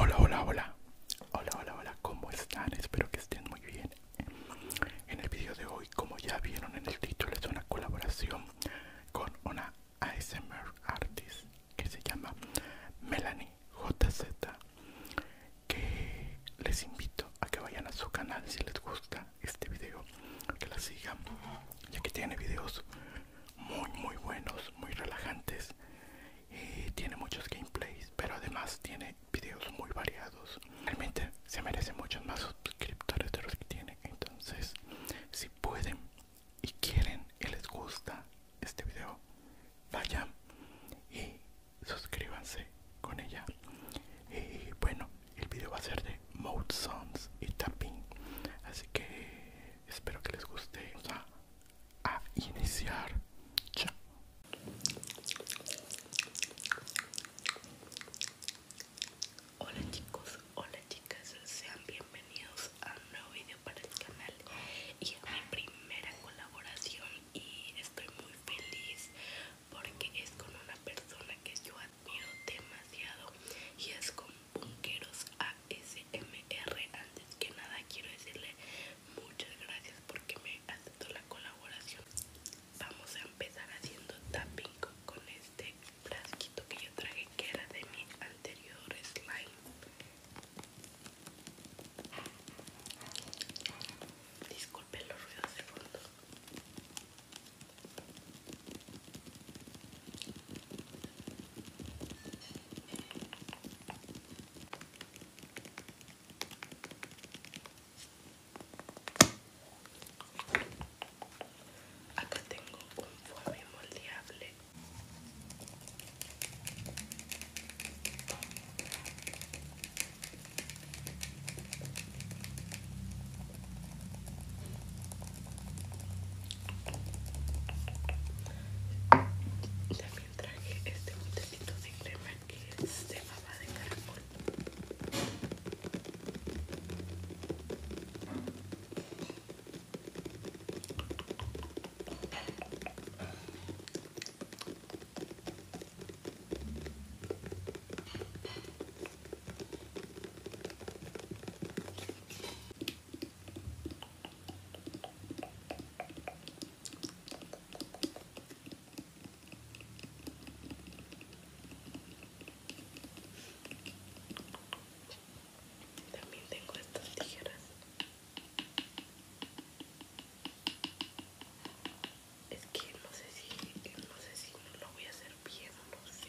Hola, hola, hola. Hola, hola, hola. ¿Cómo están? Espero que estén muy bien. En el video de hoy, como ya vieron en el título, es una colaboración con una ASMR artist que se llama Melanie JZ que les invito a que vayan a su canal si les gusta este video, que la sigan, ya que tiene videos muy muy buenos, muy relajantes y tiene muchos gameplays, pero además tiene videos muy variados. Realmente se merecen muchos más suscriptores de los que tiene, entonces si pueden y quieren y les gusta este video, vayan y suscríbanse con ella. Y bueno, el video va a ser de Mode Songs y Tapping. Así que espero que les guste. Vamos a, iniciar. Chao. Hola chicos, hola chicas, sean bienvenidos a un nuevo video para el canal y a mi primera colaboración y estoy muy feliz porque es con una persona que yo admiro demasiado y es con Bunkeros ASMR. Antes que nada quiero decirle muchas gracias porque me aceptó la colaboración. Vamos a empezar haciendo tapping con este frasquito que yo traje que era de mi anterior slime Disculpen los ruidos de fondo. Acá tengo un foamy moldeable también traje este botecito de crema que es de baba de caracol. También tengo estas tijeras. Es que no sé si no sé si lo voy a hacer bien o no sé.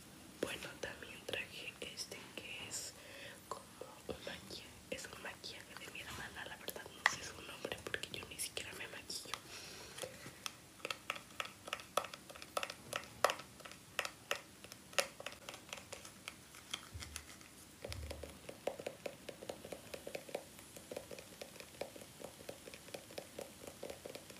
Bueno, también traje este que es como un maquillaje, es un maquillaje de mi hermana, la verdad no sé su nombre porque yo ni siquiera me maquillo.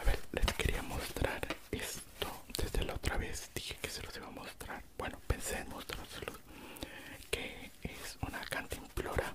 A ver, les quería mostrar esto. Desde la otra vez dije que se los iba a mostrar. Bueno, pensé en mostrárselos. Que es una cantimplora.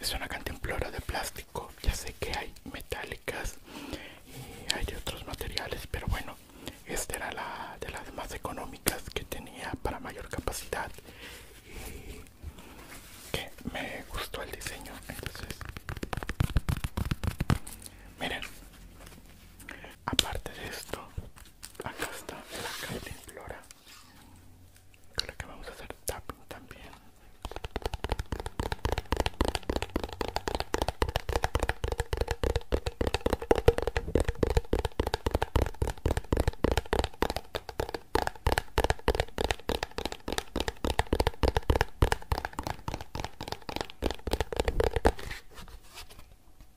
Es una cantimplora de plástico. Ya sé que hay metálicas y hay otros materiales, pero bueno, esta era la de las más económicas que tenía para mayor capacidad y que me gustó el diseño. Entonces, miren, aparte de esto, Acá está la Flora, flora Creo que vamos a hacer tap también.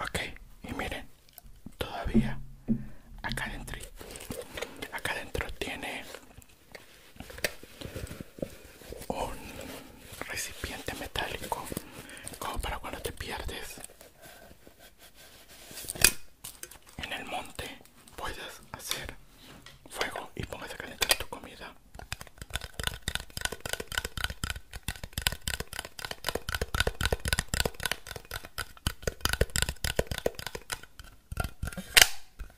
Okay, y miren, todavía acá dentro, acá adentro tiene un recipiente metálico como para cuando te pierdes en el monte puedes hacer fuego y pongas a calentar tu comida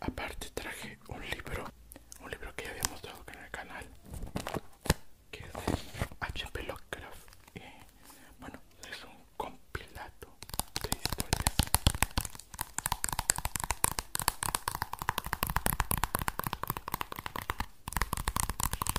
Aparte traje un libro, un libro que ya había mostrado en el canal, que es de HP Lovecraft. Y, bueno, es un compilado de historias.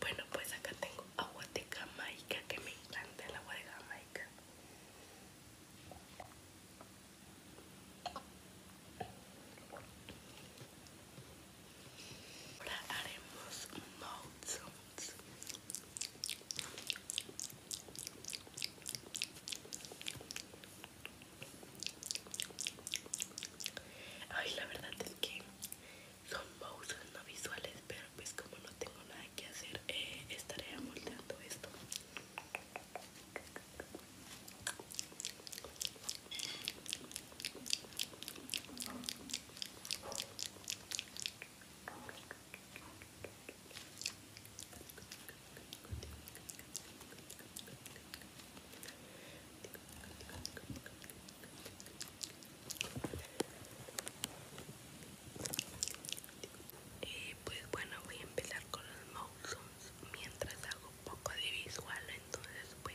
Bueno, pues acá tengo agua de Jamaica que me encanta el agua de Jamaica. Ahora haremos mouth Ay, la verdad es que son mouth no visuales, pero pues como tengo nada que hacer eh, estaré moldeando esto y pues bueno voy a empezar con los mouse mientras hago un poco de visual entonces pues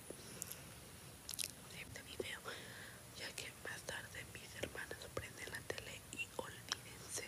Este video ya que más tarde mis hermanas prenden la tele y olvídense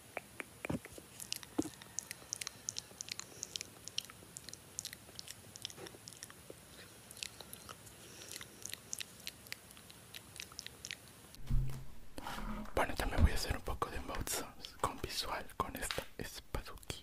Bueno, también voy a hacer un poco de mouth con visual con esta espaduki.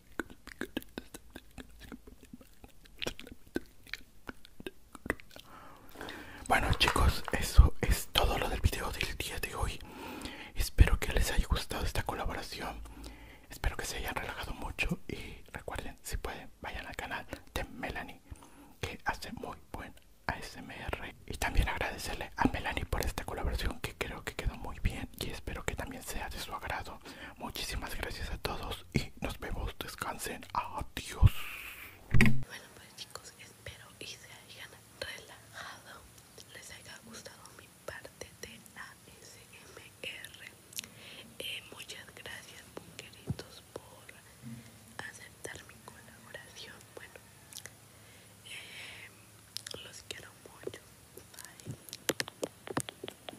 Bueno chicos, eso es todo lo del video del día de hoy. Espero que les haya gustado esta colaboración. Espero que se hayan relajado mucho y recuerden, si pueden, vayan al canal de Melanie, que hace muy buen ASMR. Y también agradecerle a Melanie por esta colaboración que creo que quedó muy bien y espero que también sea de su agrado. Muchísimas gracias a todos y nos vemos. Descansen. Adiós. Bueno, pues chicos, espero y se hayan relajado. Les haya gustado mi parte de ASMR. Eh, muchas gracias, monqueritos, por aceptar mi colaboración. Bueno, eh, los quiero mucho. Bye.